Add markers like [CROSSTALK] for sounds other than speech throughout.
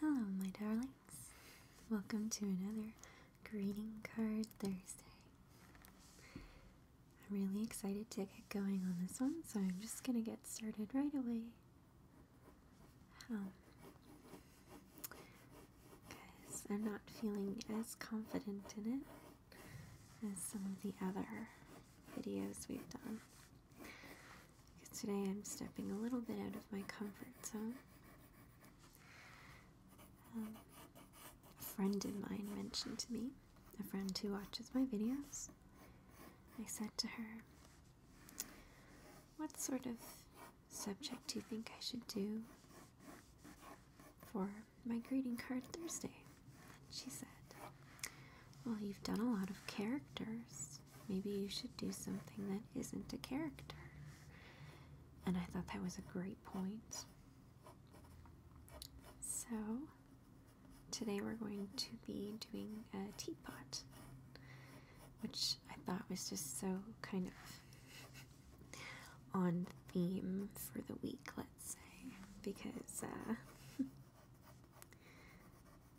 Hello, my darlings. Welcome to another Greeting Card Thursday. I'm really excited to get going on this one, so I'm just going to get started right away. because um, I'm not feeling as confident in it as some of the other videos we've done because today I'm stepping a little bit out of my comfort zone. Um, a friend of mine mentioned to me, a friend who watches my videos, I said to her, What sort of subject do you think I should do for my greeting card Thursday? she said, Well, you've done a lot of characters. Maybe you should do something that isn't a character. And I thought that was a great point. So, today we're going to be doing a teapot, which I thought was just so kind of on theme for the week, let's say, because uh,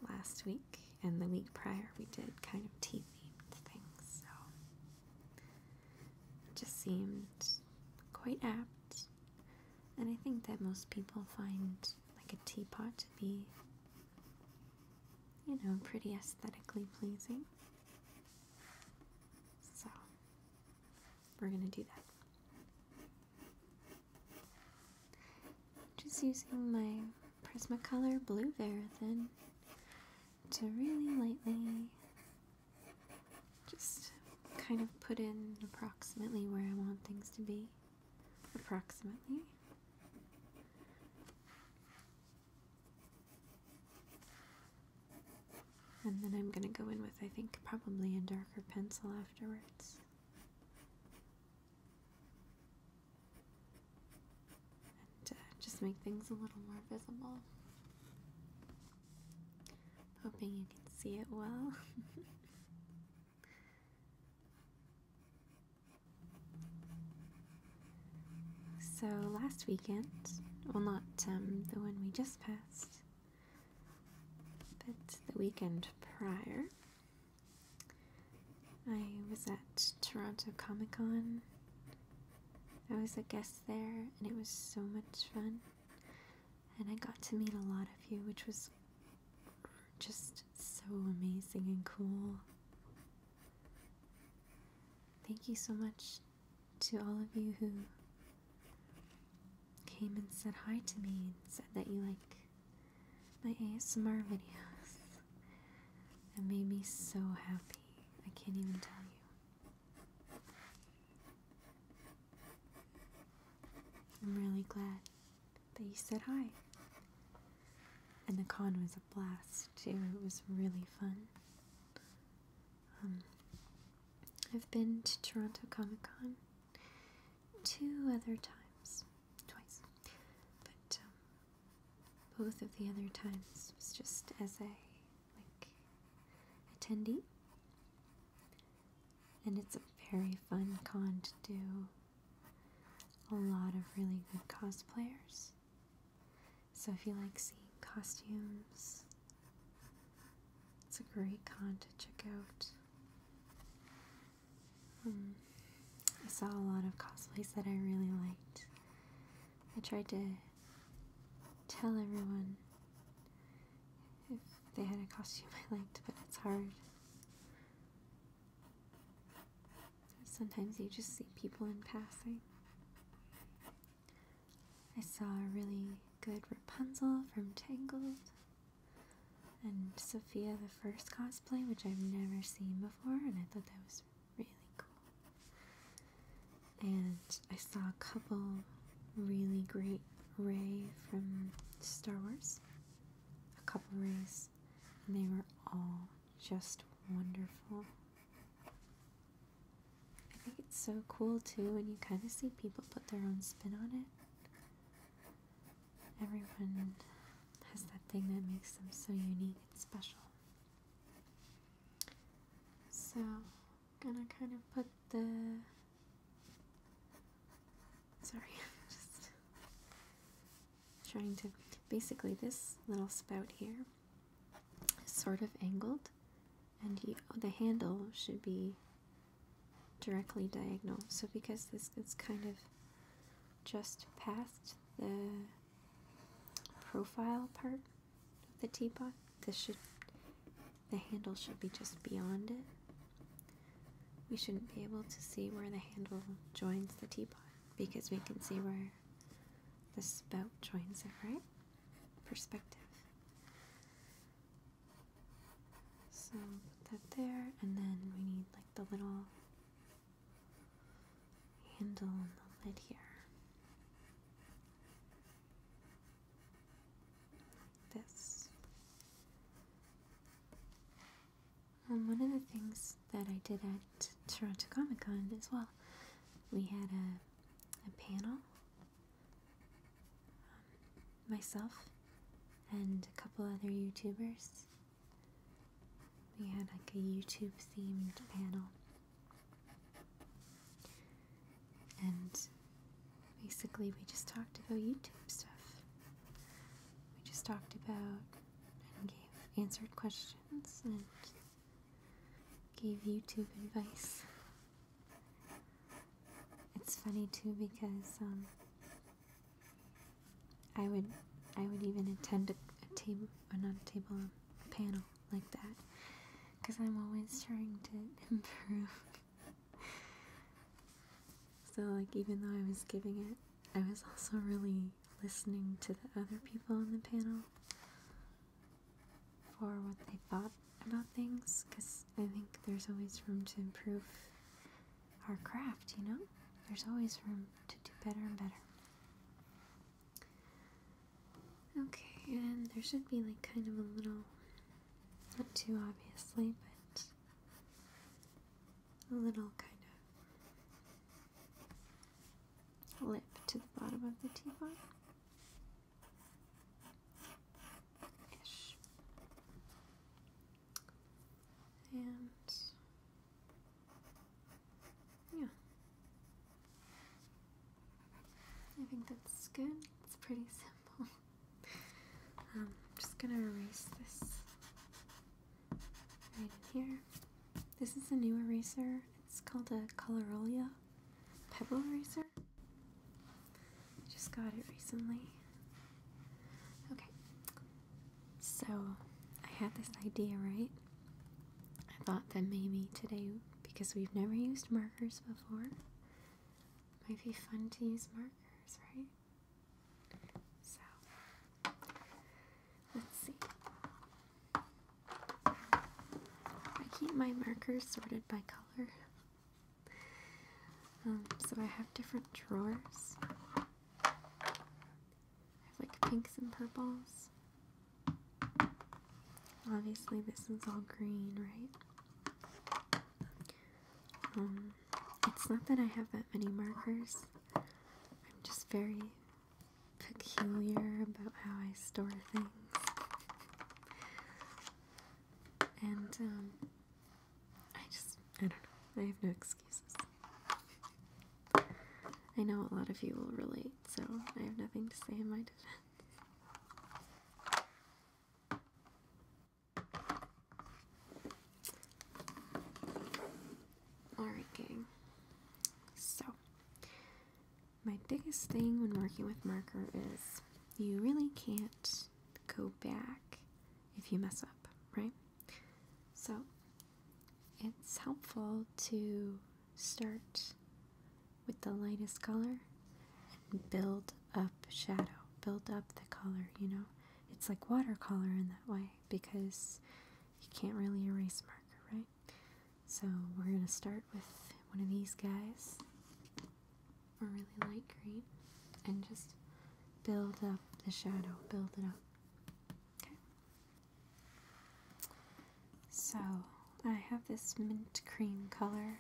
last week, and the week prior we did kind of tea themed things, so it just seemed quite apt. And I think that most people find like a teapot to be, you know, pretty aesthetically pleasing. So we're gonna do that. Just using my Prismacolor Blue Verithin to really lightly just kind of put in approximately where I want things to be. Approximately. And then I'm going to go in with, I think, probably a darker pencil afterwards. Uh, just make things a little more visible. Hoping you can see it well. [LAUGHS] so, last weekend, well, not um, the one we just passed, but the weekend prior, I was at Toronto Comic Con. I was a guest there, and it was so much fun. And I got to meet a lot of you, which was just so amazing and cool. Thank you so much to all of you who came and said hi to me and said that you like my ASMR videos. [LAUGHS] That made me so happy. I can't even tell you. I'm really glad that you said hi. And the con was a blast too. It was really fun. Um, I've been to Toronto Comic Con two other times, twice. But um, both of the other times was just as a like attendee. And it's a very fun con to do. A lot of really good cosplayers. So if you like seeing costumes, it's a great con to check out. Um, I saw a lot of cosplays that I really liked. I tried to tell everyone if they had a costume [LAUGHS] I liked, but it's hard. Sometimes you just see people in passing. I saw a really good Rapunzel from Tangled and Sophia the First cosplay, which I've never seen before, and I thought that was really cool. And I saw a couple really great rays from Star Wars, a couple Rays, and they were all just wonderful. I think it's so cool too when you kind of see people put their own spin on it. Everyone has that thing that makes them so unique and special. So, gonna kind of put the. Sorry, I'm [LAUGHS] just trying to. Basically, this little spout here is sort of angled, and you, the handle should be directly diagonal. So, because this is kind of just past the profile part of the teapot. This should, the handle should be just beyond it. We shouldn't be able to see where the handle joins the teapot because we can see where the spout joins it, right? Perspective. So put that there, and then we need like the little handle the lid here. this. and um, one of the things that I did at Toronto Comic Con as well, we had a, panel, um, myself and a couple other YouTubers. We had like a YouTube themed panel and basically, we just talked about YouTube stuff. We just talked about and gave answered questions and gave YouTube advice. It's funny too because um, I would I would even attend a table, or not a table, a panel like that because I'm always trying to [LAUGHS] improve. so, like, even though I was giving it, I was also really listening to the other people on the panel for what they thought about things because I think there's always room to improve our craft, you know? There's always room to do better and better. Okay, and there should be like kind of a little, not too obviously, but a little kind of lip to the bottom of the teapot. Ish. And yeah. I think that's good. It's pretty simple. I'm [LAUGHS] um, just gonna erase this right in here. This is a new eraser. It's called a Colorolia Pebble Eraser. I just got it recently. Okay, so I had this idea, right? I thought that maybe today, because we've never used markers before, might be fun to use markers, right? So, let's see. I keep my markers sorted by color. Um, so I have different drawers. I have like pinks and purples, Obviously, this is all green, right? Um, it's not that I have that many markers. I'm just very peculiar about how I store things. And, um, I just, I don't know. I have no excuses. I know a lot of you will relate, so I have nothing to say in my defense. Alright, gang. So, my biggest thing when working with marker is you really can't go back if you mess up, right? So, it's helpful to start with the lightest color and build up shadow, build up the color, you know? It's like watercolor in that way because you can't really erase marker, right? So we're going to start with one of these guys, a really light green, and just build up the shadow, build it up. Okay. So I have this mint cream color.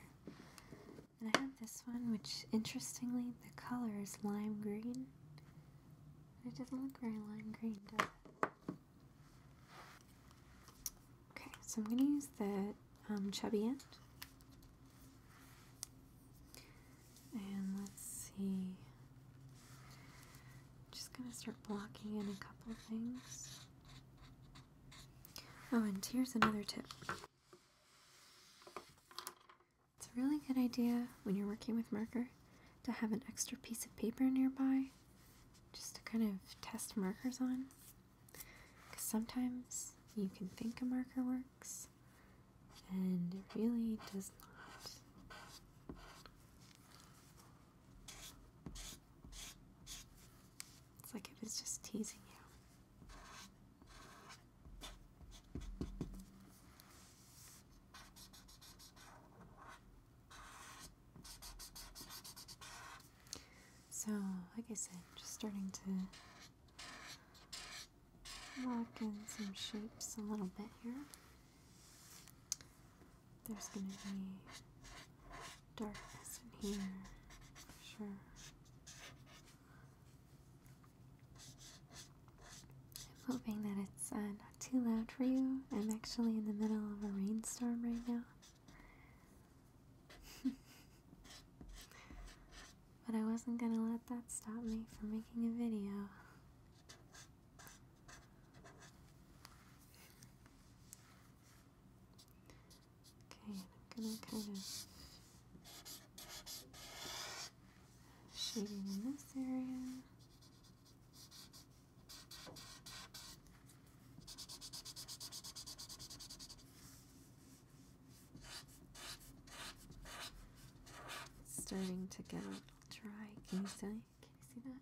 And I have this one, which interestingly, the color is lime green. It doesn't look very lime green, does it? Okay, so I'm going to use the um, chubby end. And let's see. just going to start blocking in a couple things. Oh, and here's another tip. It's a really good idea when you're working with marker to have an extra piece of paper nearby just to kind of test markers on. Because sometimes you can think a marker works and it really does not. It's like it was just teasing you. So, like I said, just starting to lock in some shapes a little bit here there's gonna be darkness in here for sure. I'm hoping that it's uh, not too loud for you. I'm actually in the middle of a rainstorm right now. [LAUGHS] but I wasn't gonna let that stop me from making a video. Okay, I'm gonna kind of shading in this area. starting to get a little dry, can you see? Can you see that?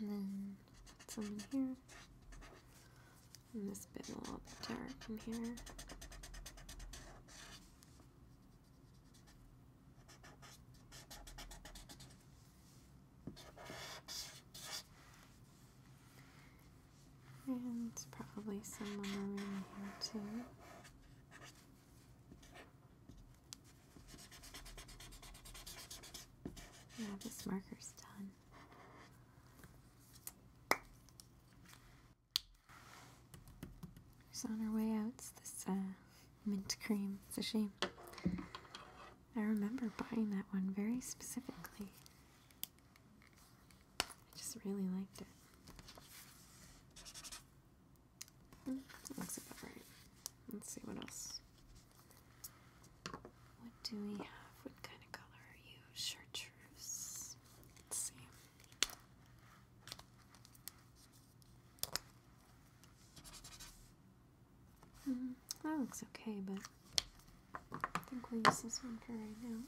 And then some here. And this bit a little bit dark in here. And probably some maroon in here too. Yeah, this marker's done. She's on her way out. It's this uh, mint cream. It's a shame. I remember buying that one very specifically. I just really liked it. Hmm, looks about right. Let's see what else. What do we have? What kind of color are you? Chartreuse. Let's see. Hmm, that looks okay, but I think we'll use this one for right now.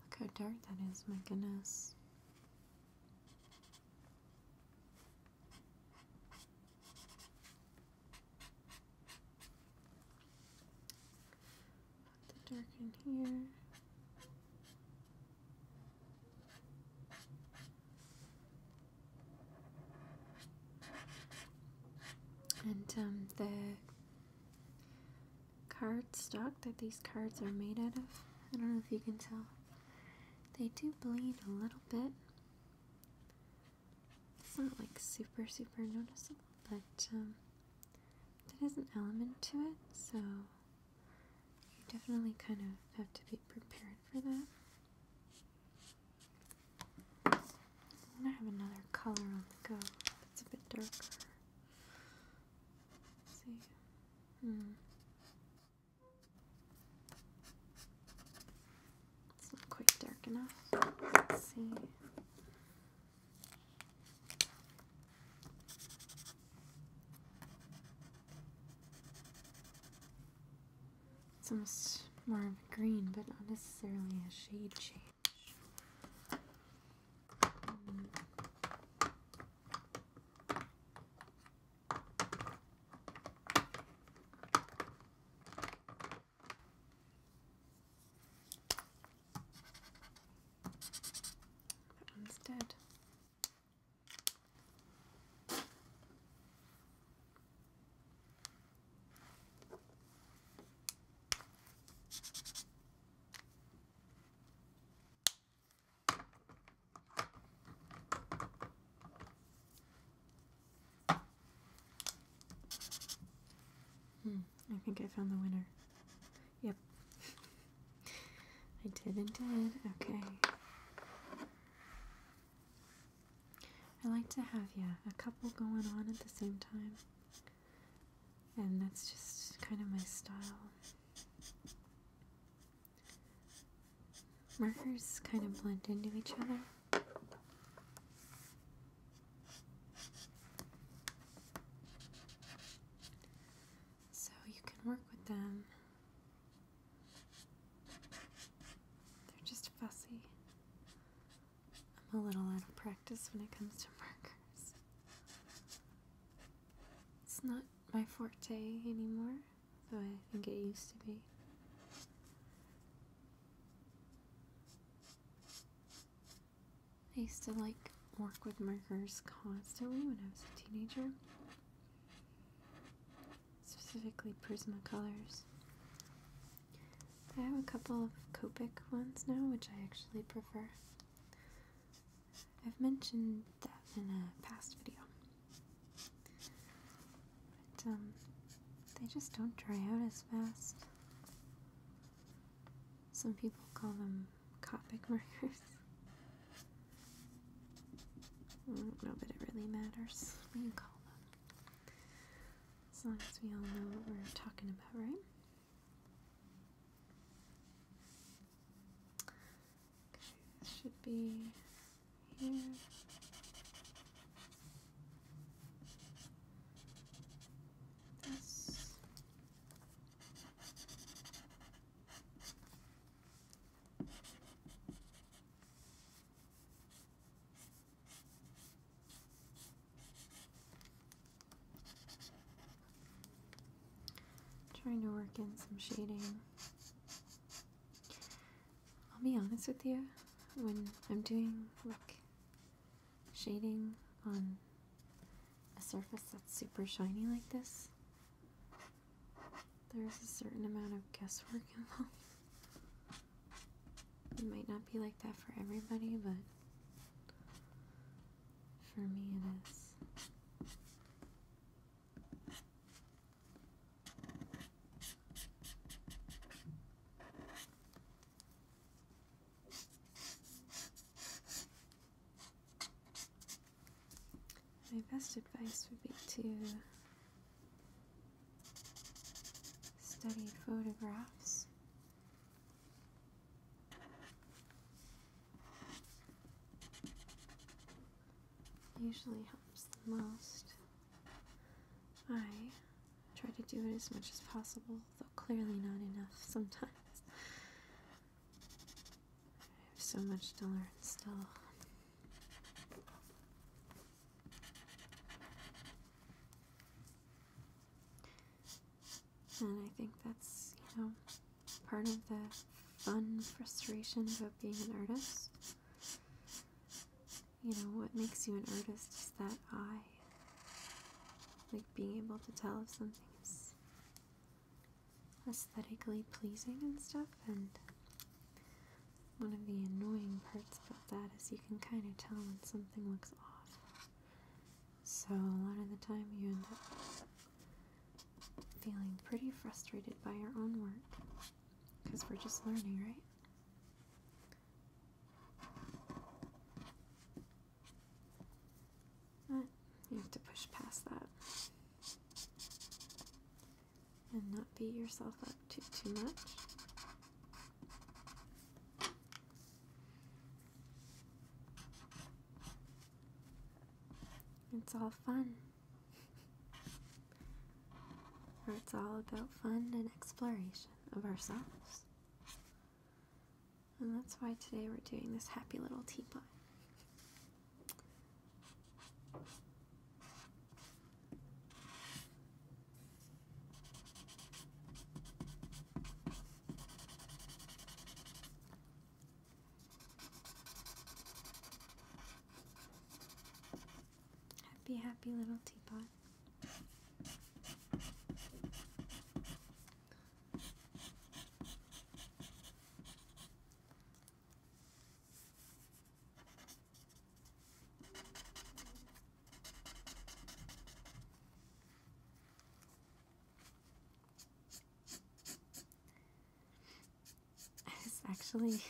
Look how dark that is, my goodness. Put the dark in here. And um, the card stock that these cards are made out of. I don't know if you can tell. They do bleed a little bit. It's not like super, super noticeable, but um, there is an element to it, so you definitely kind of have to be prepared for that. I have another color on the go. It's a bit darker. see. Hmm. It's not quite dark enough. Let's see. It's almost more of a green, but not necessarily a shade change. Hmm. That one's dead. Hmm, I think I found the winner. Yep. I did indeed. Okay. I like to have, yeah, a couple going on at the same time. And that's just kind of my style markers kind of blend into each other. So you can work with them. They're just fussy. I'm a little out of practice when it comes to markers. It's not my forte anymore, though I think it used to be. I used to like work with markers constantly when I was a teenager, specifically Prismacolors. I have a couple of Copic ones now, which I actually prefer. I've mentioned that in a past video. But, um, they just don't dry out as fast. Some people call them Copic [LAUGHS] markers. I don't know that it really matters what you call them. As long as we all know what we're talking about, right? It should be here. This. Trying to work in some shading. I'll be honest with you, when I'm doing like shading on a surface that's super shiny like this, there's a certain amount of guesswork [LAUGHS] involved. It might not be like that for everybody, but for me it is. My best advice would be to study photographs usually helps the most. I try to do it as much as possible, though clearly not enough sometimes. I have so much to learn still. And I think that's, you know, part of the fun frustration about being an artist. You know, what makes you an artist is that eye. Like being able to tell if something is aesthetically pleasing and stuff. And one of the annoying parts about that is you can kind of tell when something looks off. So a lot of the time you end up feeling pretty frustrated by our own work because we're just learning, right? But you have to push past that and not beat yourself up too, too much. It's all fun it's all about fun and exploration of ourselves. And that's why today we're doing this happy little teapot. Happy, happy little teapot. It's actually,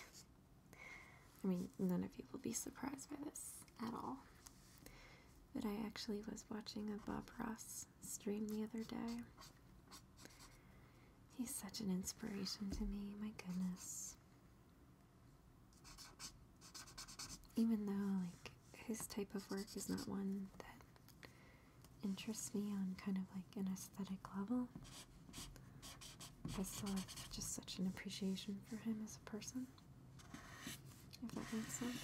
I mean, none of you will be surprised by this at all. that I actually was watching a Bob Ross stream the other day. He's such an inspiration to me, my goodness. Even though, like, his type of work is not one that interests me on kind of like an aesthetic level. I saw just such an appreciation for him as a person. If that makes sense.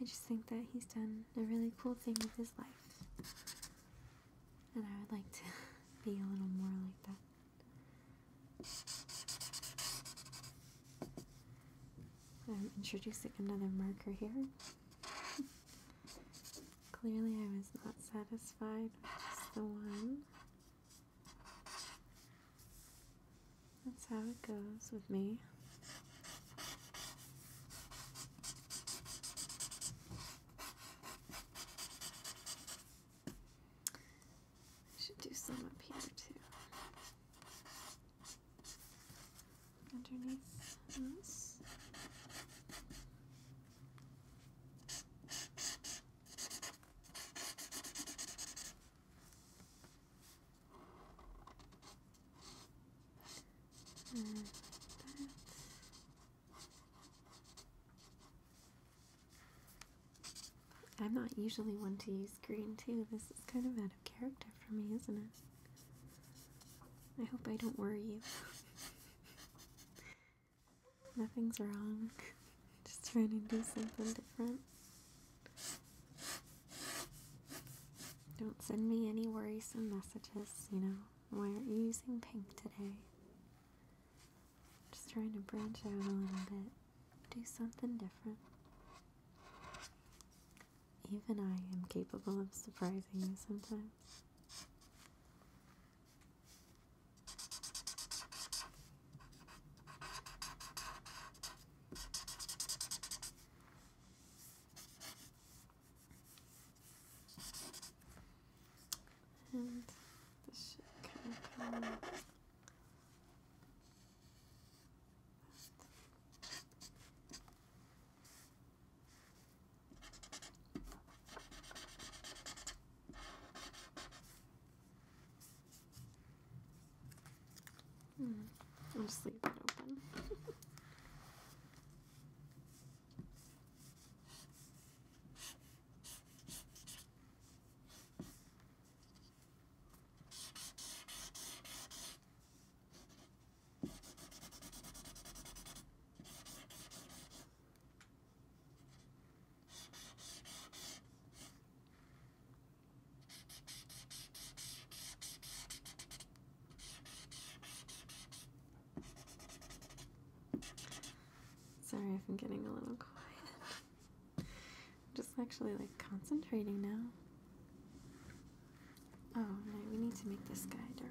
I just think that he's done a really cool thing with his life. And I would like to [LAUGHS] be a little more like that. I'm introducing another marker here. Clearly, I was not satisfied with just the one. That's how it goes with me. I should do some up here too. Underneath this. And that. I'm not usually one to use green too. This is kind of out of character for me, isn't it? I hope I don't worry you. [LAUGHS] Nothing's wrong. [LAUGHS] Just trying to do something different. Don't send me any worrisome messages, you know. Why aren't you using pink today? Just trying to branch out a little bit, do something different. Even I am capable of surprising you sometimes. And this should kind of come Hmm. I'll just leave it open. [LAUGHS] Sorry if I'm getting a little quiet. I'm just actually like concentrating now. Oh, right, we need to make the sky dark.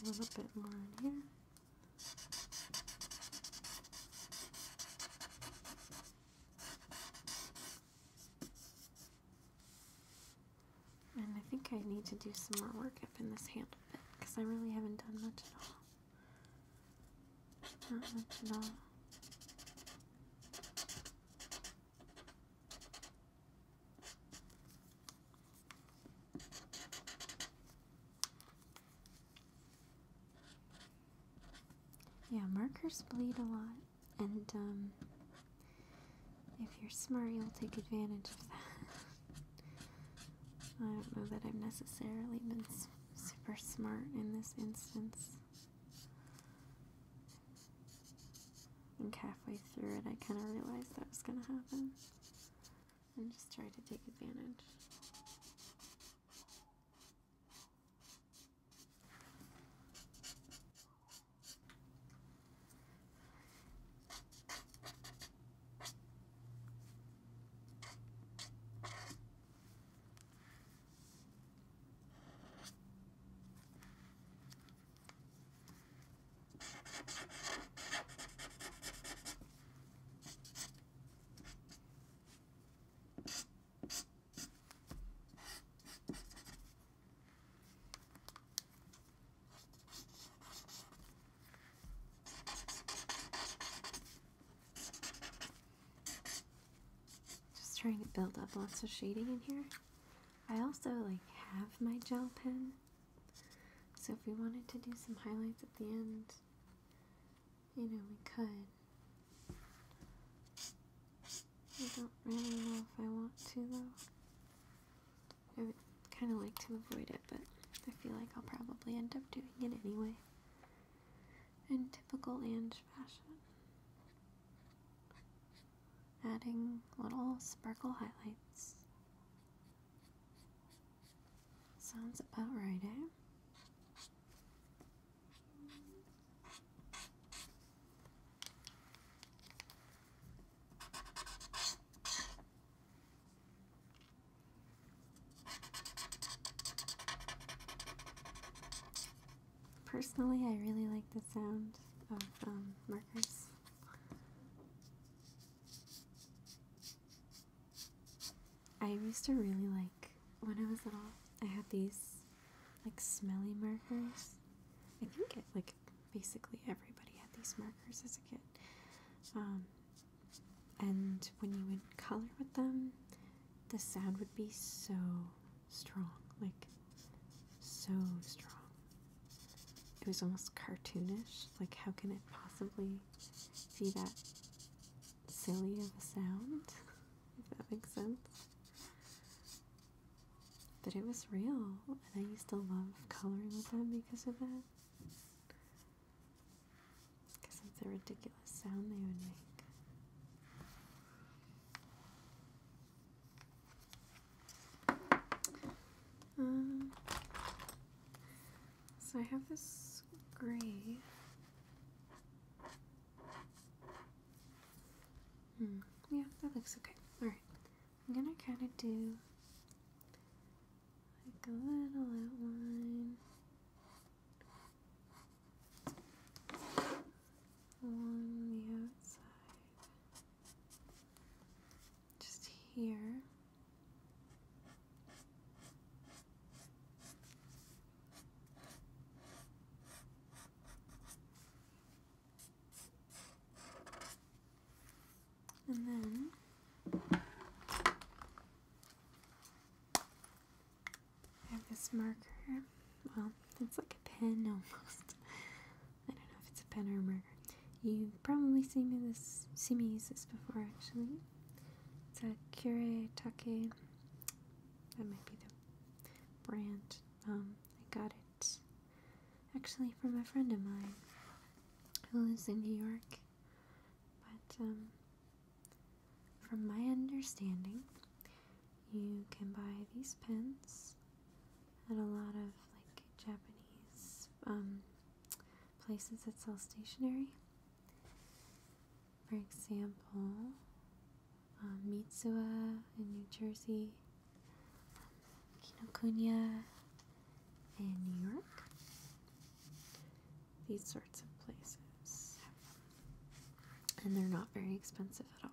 A little bit more in here. And I think I need to do some more work up in this handle because I really haven't done much at all. Not much at all. Yeah, markers bleed a lot, and um, if you're smart, you'll take advantage of that. [LAUGHS] I don't know that I've necessarily been super smart in this instance. I think halfway through it, I kind of realized that was going to happen. And just tried to take advantage. Just trying to build up lots of shading in here. I also like have my gel pen. So if we wanted to do some highlights at the end, you know, we could. I don't really know if I want to though. I would kind of like to avoid it, but I feel like I'll probably end up doing it anyway. In typical Ange fashion adding little sparkle highlights. Sounds about right, eh? Personally, I really like the sound of um, markers. I used to really like when I was little. I had these like smelly markers. I think like basically everybody had these markers as a kid. Um, and when you would color with them, the sound would be so strong, like so strong. It was almost cartoonish. Like, how can it possibly be that silly of a sound? [LAUGHS] if that makes sense. But it was real, and I used to love coloring with them because of that. Because it's a ridiculous sound they would make. Um, so I have this gray. Hmm. Yeah, that looks okay. Alright. I'm gonna kind of do like a little outline. Along the outside. Just here. And then I have this marker. Well, it's like a pen almost. I don't know if it's a pen or a marker. You've probably seen me this seen me use this before actually. It's a Kure Take. That might be the brand. Um, I got it actually from a friend of mine who lives in New York. But um, from my understanding, you can buy these pens and a lot of like Japanese um, places that sell stationery. For example, um, Mitsuya in New Jersey, um, Kinokuniya in New York. These sorts of places. And they're not very expensive at all.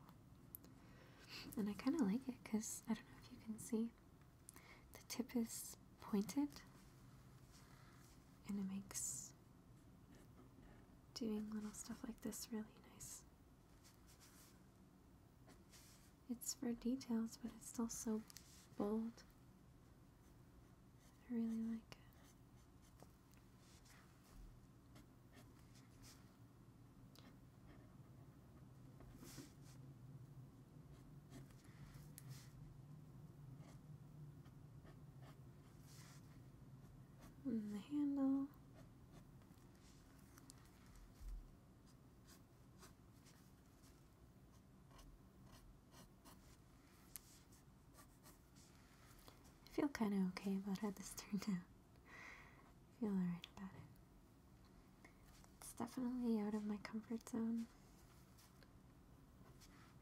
And I kind of like it because I don't know if you can see, the tip is pointed and it makes doing little stuff like this really nice. It's for details, but it's still so bold. I really like it the handle. I feel kind of okay about how this turned out feel alright about it. It's definitely out of my comfort zone.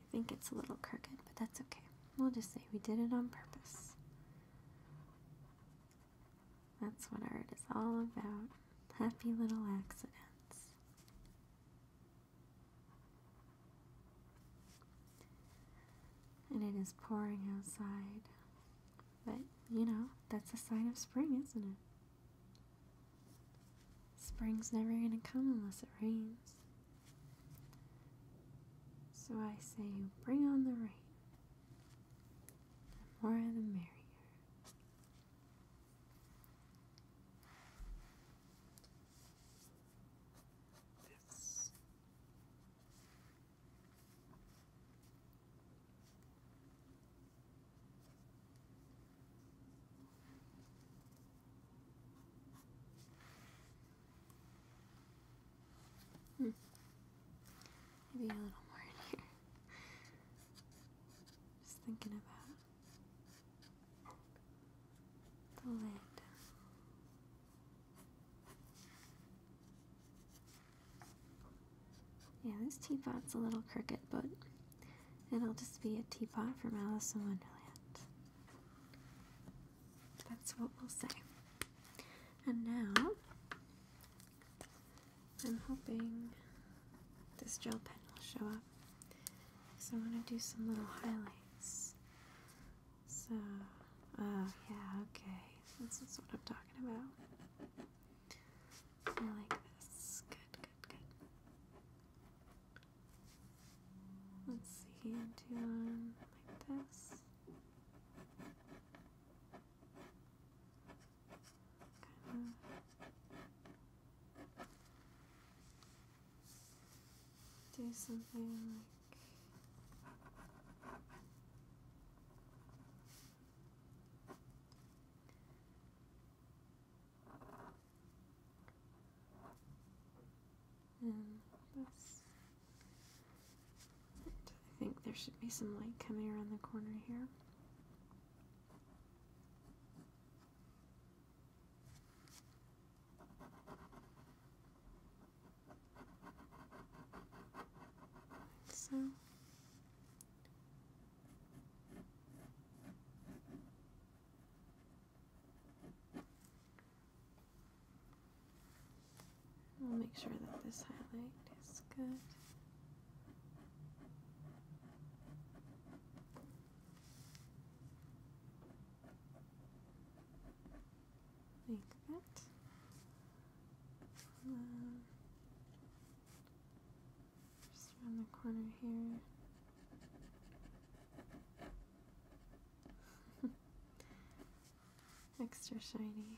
I think it's a little crooked, but that's okay. We'll just say we did it on purpose. That's what art is all about. Happy little accidents. And it is pouring outside. But, you know, that's a sign of spring, isn't it? Spring's never gonna come unless it rains. So I say, bring on the rain. The more the merrier. That's Hmm. Maybe a little more in here. Just thinking about the lid. Yeah, this teapot's a little crooked, but it'll just be a teapot from Alice in Wonderland. That's what we'll say. And now, I'm hoping this gel pen will show up. Because I want to do some little highlights. So, oh yeah, okay. This is what I'm talking about. So like this. Good, good, good. Let's see, do one like this. Kind of. Do something like and um, I think there should be some light coming around the corner here. So We'll make sure that this highlight is good. Like that. Um, just around the corner here. [LAUGHS] Extra shiny.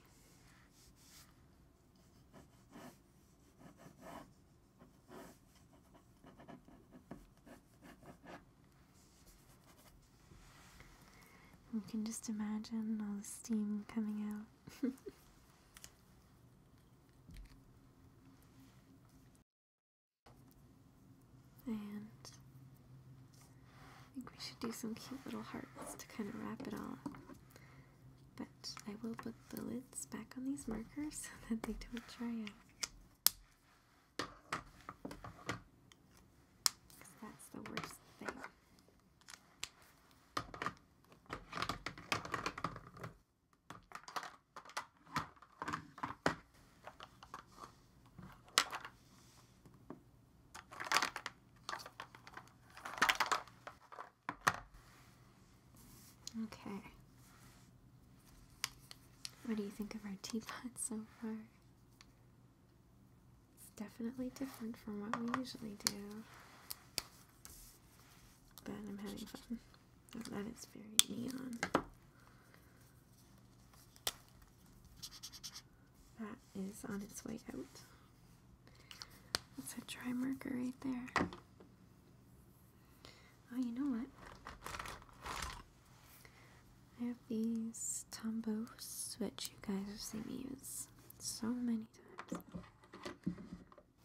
You can just imagine all the steam coming out. [LAUGHS] and I think we should do some cute little hearts to kind of wrap it all But I will put the lids back on these markers [LAUGHS] so that they don't dry out. Because that's the worst thing. Okay. What do you think of our [LAUGHS] teapot so far? It's definitely different from what we usually do. But I'm having fun. that is very neon. That is on its way out. That's a dry marker right there. Oh, you know what? I have these Tombos, which you guys have seen me use so many times.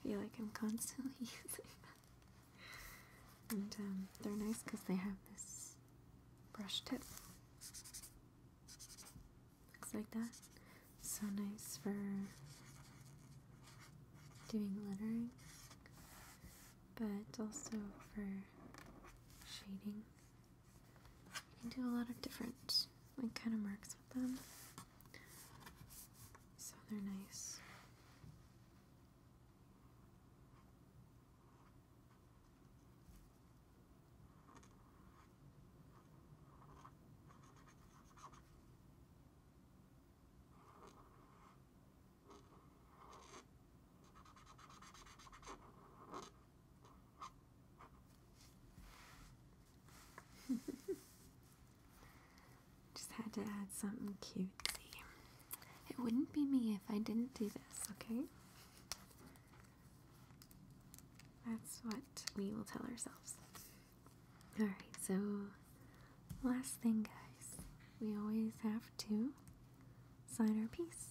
I feel like I'm constantly [LAUGHS] using them. And um, they're nice because they have this brush tip. Looks like that. So nice for doing lettering, but also for shading. You can do a lot of different like kind of marks so they're nice. [LAUGHS] Just had to add something cutesy. It wouldn't be me if I didn't do this, okay? That's what we will tell ourselves. Alright, so last thing, guys, we always have to sign our piece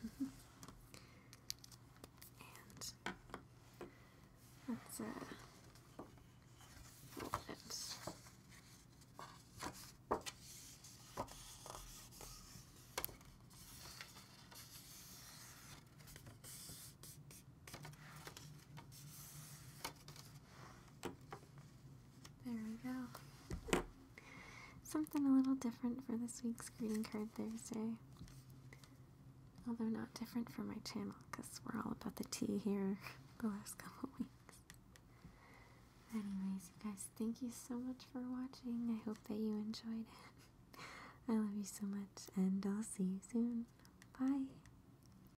and that's uh, that's there we go. Something a little different for this week's Greeting Card Thursday. Although not different for my channel, because we're all about the tea here [LAUGHS] the last couple weeks. Anyways, guys, thank you so much for watching. I hope that you enjoyed it. [LAUGHS] I love you so much, and I'll see you soon. Bye.